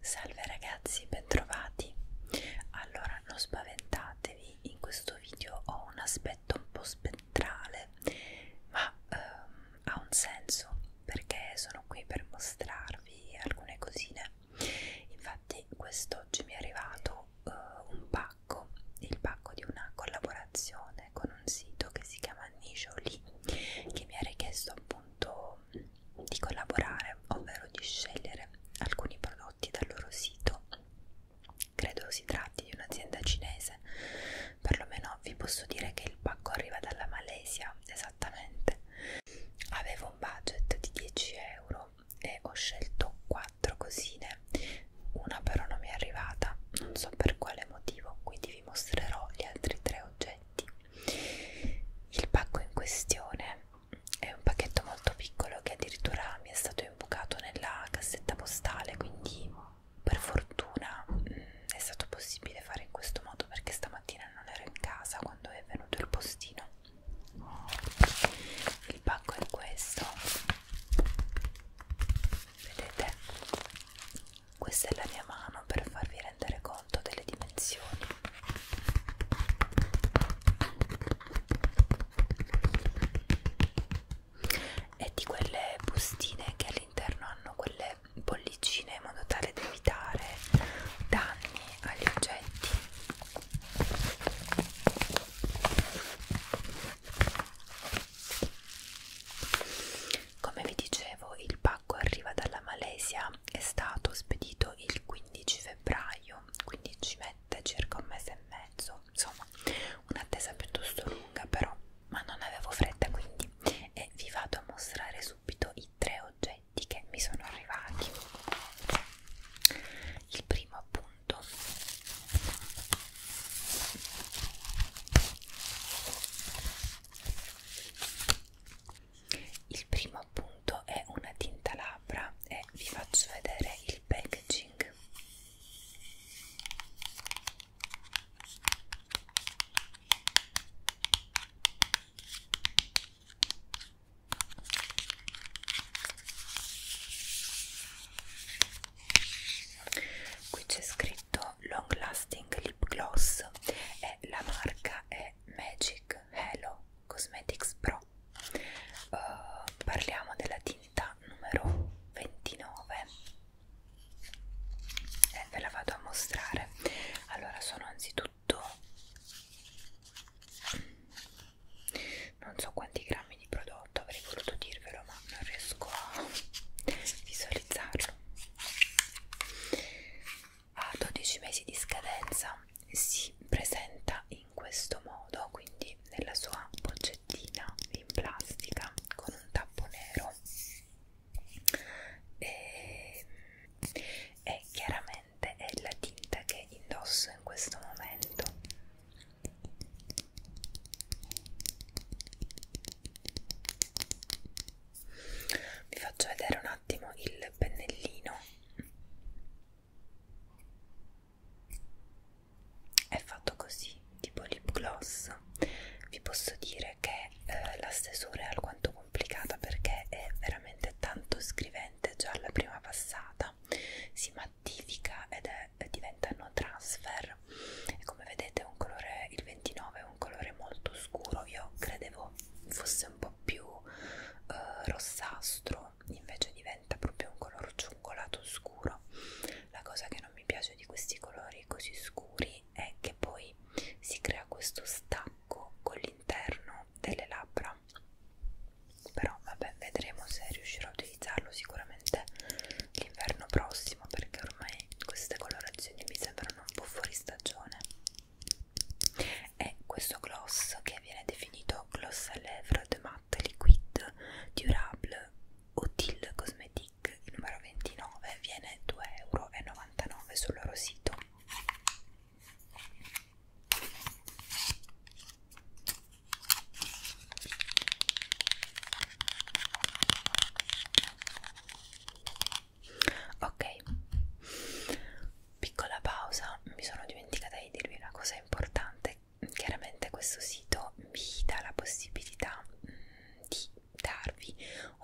Salve ragazzi, bentrovati. Allora, non spaventatevi, in questo video ho un aspetto un po' spettrale, ma ehm, ha un senso perché sono qui per mostrarvi alcune cosine me infatti quest'oggi mi è arrivato uh, un pacco il pacco di una collaborazione con un sito che si chiama Nijoli che mi ha richiesto appunto di collaborare ovvero di scegliere alcuni prodotti dal loro sito credo si tratti di un'azienda cinese perlomeno vi posso dire che il pacco arriva dalla Malesia esattamente avevo un budget di 10 euro e ho scelto quattro cosine una però non mi è arrivata non so per quale motivo quindi vi mostrerò gli altri tre oggetti il pacco in questione è un pacchetto molto piccolo che addirittura mi è stato imbucato nella cassetta postale quindi per fortuna mh, mm, è stato possibile fare in questo modo perché stamattina non ero in casa quando è venuto il postino il pacco è questo vedete questa è la mia mano per farvi rendere conto delle dimensioni e di quelle bustine che all'interno hanno quelle bollicine in modo tale da evitare danni agli oggetti come vi dicevo, il pacco arriva dalla Malesia, è stato spedito il 15 febbraio, quindi ci mette circa un mese e mezzo, insomma un'attesa piuttosto lunga però, ma non avevo fretta quindi e vi vado a mostrare subito i tre oggetti che mi sono arrivati il primo appunto il primo appunto è una tinta labbra e vi faccio vedere il packaging qui c'è scritto long lasting lip gloss e la marca è magic hello cosmetics pro uh, parliamo della tinta numero 29 e eh, ve la vado a mostrare allora sono anzitutto tutto non so quanti grammi di prodotto avrei voluto dirvelo ma non riesco a visualizzarlo a 12 mesi di scadenza si presenta in questo modo quindi nella sua boccettina in plastica con un tappo nero e, e chiaramente è la tinta che indosso in questo momento vi faccio vedere un attimo il pennellino è fatto così tipo lip gloss vi posso dire che e eh, la stesura è alquanto complicata perché è veramente tanto scrivente già alla prima passata, si mattifica ed è, diventa no transfer e come vedete un colore, il 29 è un colore molto scuro, io credevo fosse un po' più eh, rossastro, invece diventa proprio un colore ciungolato scuro. La cosa che non mi piace di questi colori così scuri poi è che poi si crea questo stacco con l'interno delle labbra però vabbè vedremo se riuscirò a utilizzarlo sicuramente l'inverno prossimo perché ormai queste colorazioni mi sembrano un po' fuori stagione e questo gloss che viene definito gloss à lèvres de matte liquide durable utile cosmetic Tic, il numero 29, viene 2,99 euro sul loro sito. Ok, piccola pausa, mi sono dimenticata di dirvi una cosa importante. Chiaramente questo sito vi dà la possibilità mm, di darvi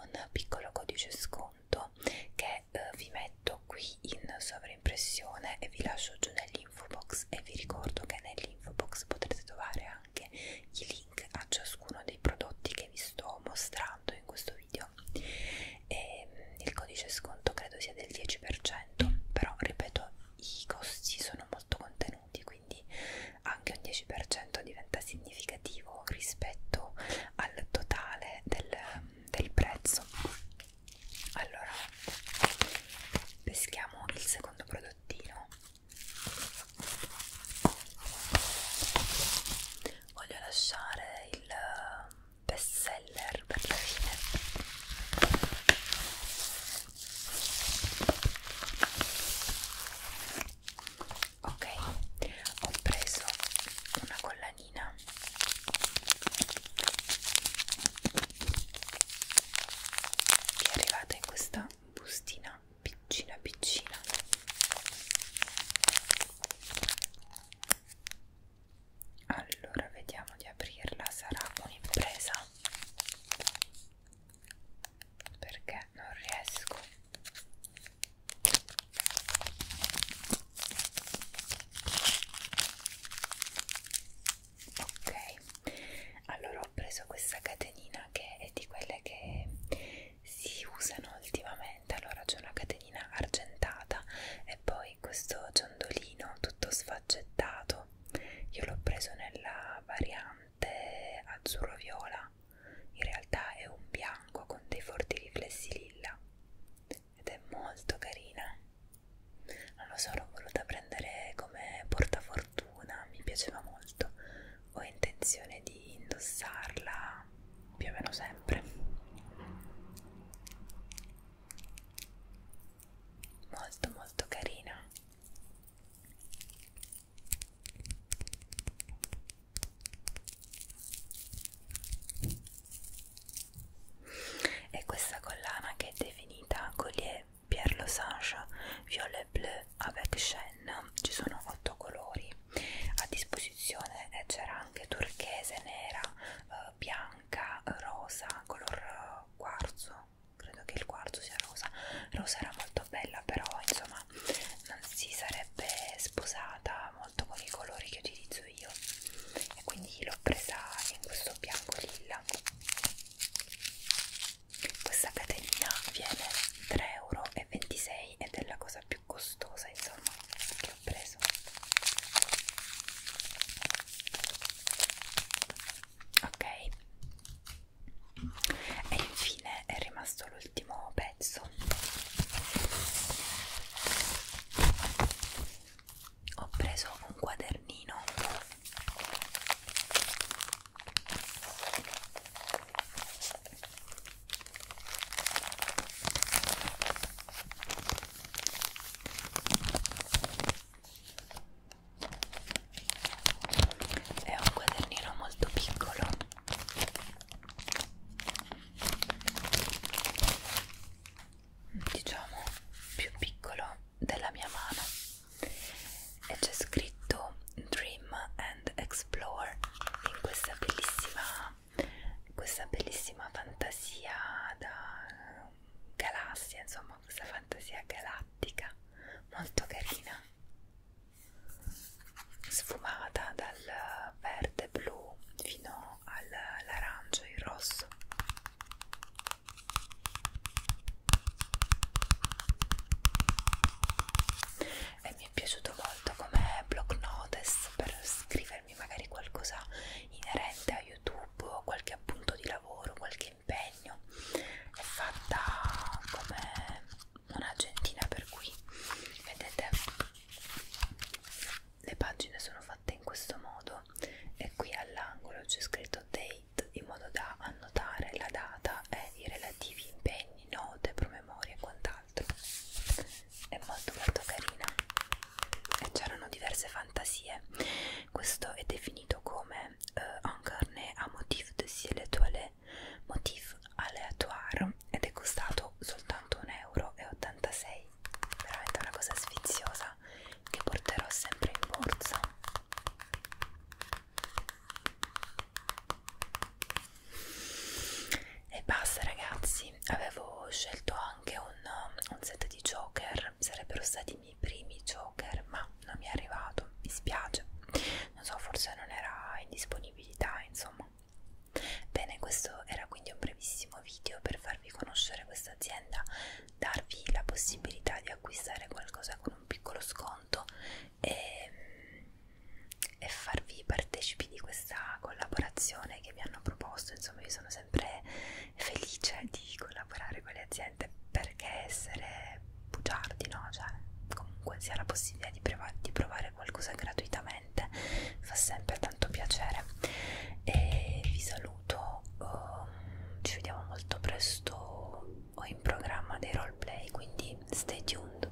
un piccolo codice sconto che eh, vi metto qui in sovraimpressione e vi lascio giù nell'info box e vi ricordo che nell'info box potrete trovare anche i link a ciascuno dei prodotti che vi sto mostrando in questo video e, mm, il codice sconto credo sia del 10% però ripeto i costi sono molto contenuti contenuti, quindi anche un 10% diventa significativo rispetto al totale del, del prezzo. Allora, peschiamo il secondo prodottino. Voglio lasciare il best seller per la fine ok ho preso una collanina che è arrivata in questa bustina piccina piccina allora vediamo di aprirla sarà un'impresa perché non riesco ok allora ho preso questa catenina che è di quelle che si usano ultimamente allora c'è una catenina argentata e poi questo ciondolino tutto sfaccettato io l'ho preso nella variante brillante azzurro-viola, in realtà è un bianco con dei forti riflessi lilla ed è molto carina. Non lo so, l'ho voluta prendere come portafortuna, mi piaceva molto. Ho intenzione di indossarla più o meno sempre. Molto molto carina e questa collana che è definita Collier Pierre Losange Violet Bleu avec Chaîne ci sono otto colori a disposizione e eh, c'era anche turchese, nera, eh, bianca, rosa, color eh, quarzo credo che il quarto sia rosa rosa era molto bella però insomma non si sarebbe sposata molto con i colori che utilizzo io e quindi l'ho presa in questo bianco lilla questa catenina viene 3,26 euro ed è la cosa più costosa insomma che ho preso ok e infine è rimasto l'ultimo pezzo ho preso un quadernino è un quadernino molto piccolo diciamo più piccolo della mia mano e c'è scritto Dream and Explore in questa bellissima questa bellissima fantasia da galassia insomma amo questa fantasia galattica molto carina sfumata dal verde blu fino all'arancio e il rosso e mi è piaciuto molto come block notes per scrivere scrivermi magari qualcosa inerente a YouTube, qualche appunto di lavoro, qualche impegno. È fatta come un'agentina per cui vedete le pagine sono fatte in questo modo e qui all'angolo c'è scritto date in modo da annotare la data e i relativi impegni, note, promemorie e quant'altro. È molto molto carina e c'erano diverse fantasie. Questo è definito come uh, eh, incarné à motif de ciel étoilé, motif aléatoire ed è costato soltanto 1,86 euro. Veramente una cosa sfiziosa che porterò sempre in borsa. E basta ragazzi, sì, avevo scelto anche un, un set di Joker, sarebbero stati i miei primi Joker, ma non mi è arrivato, mi spiace, non so, forse non era in disponibilità, insomma. Bene, questo era quindi un brevissimo video per farvi conoscere questa azienda, darvi la possibilità di acquistare qualcosa con un piccolo sconto e, e farvi partecipi di questa collaborazione che mi hanno proposto, insomma io sono sempre felice di collaborare con le aziende perché essere bugiardi, no? Cioè, comunque si ha la possibilità di, di provare qualcosa gratuitamente, fa sempre tanto piacere. E vi saluto, um, ci vediamo molto presto. Ho in programma dei roleplay, quindi stay tuned.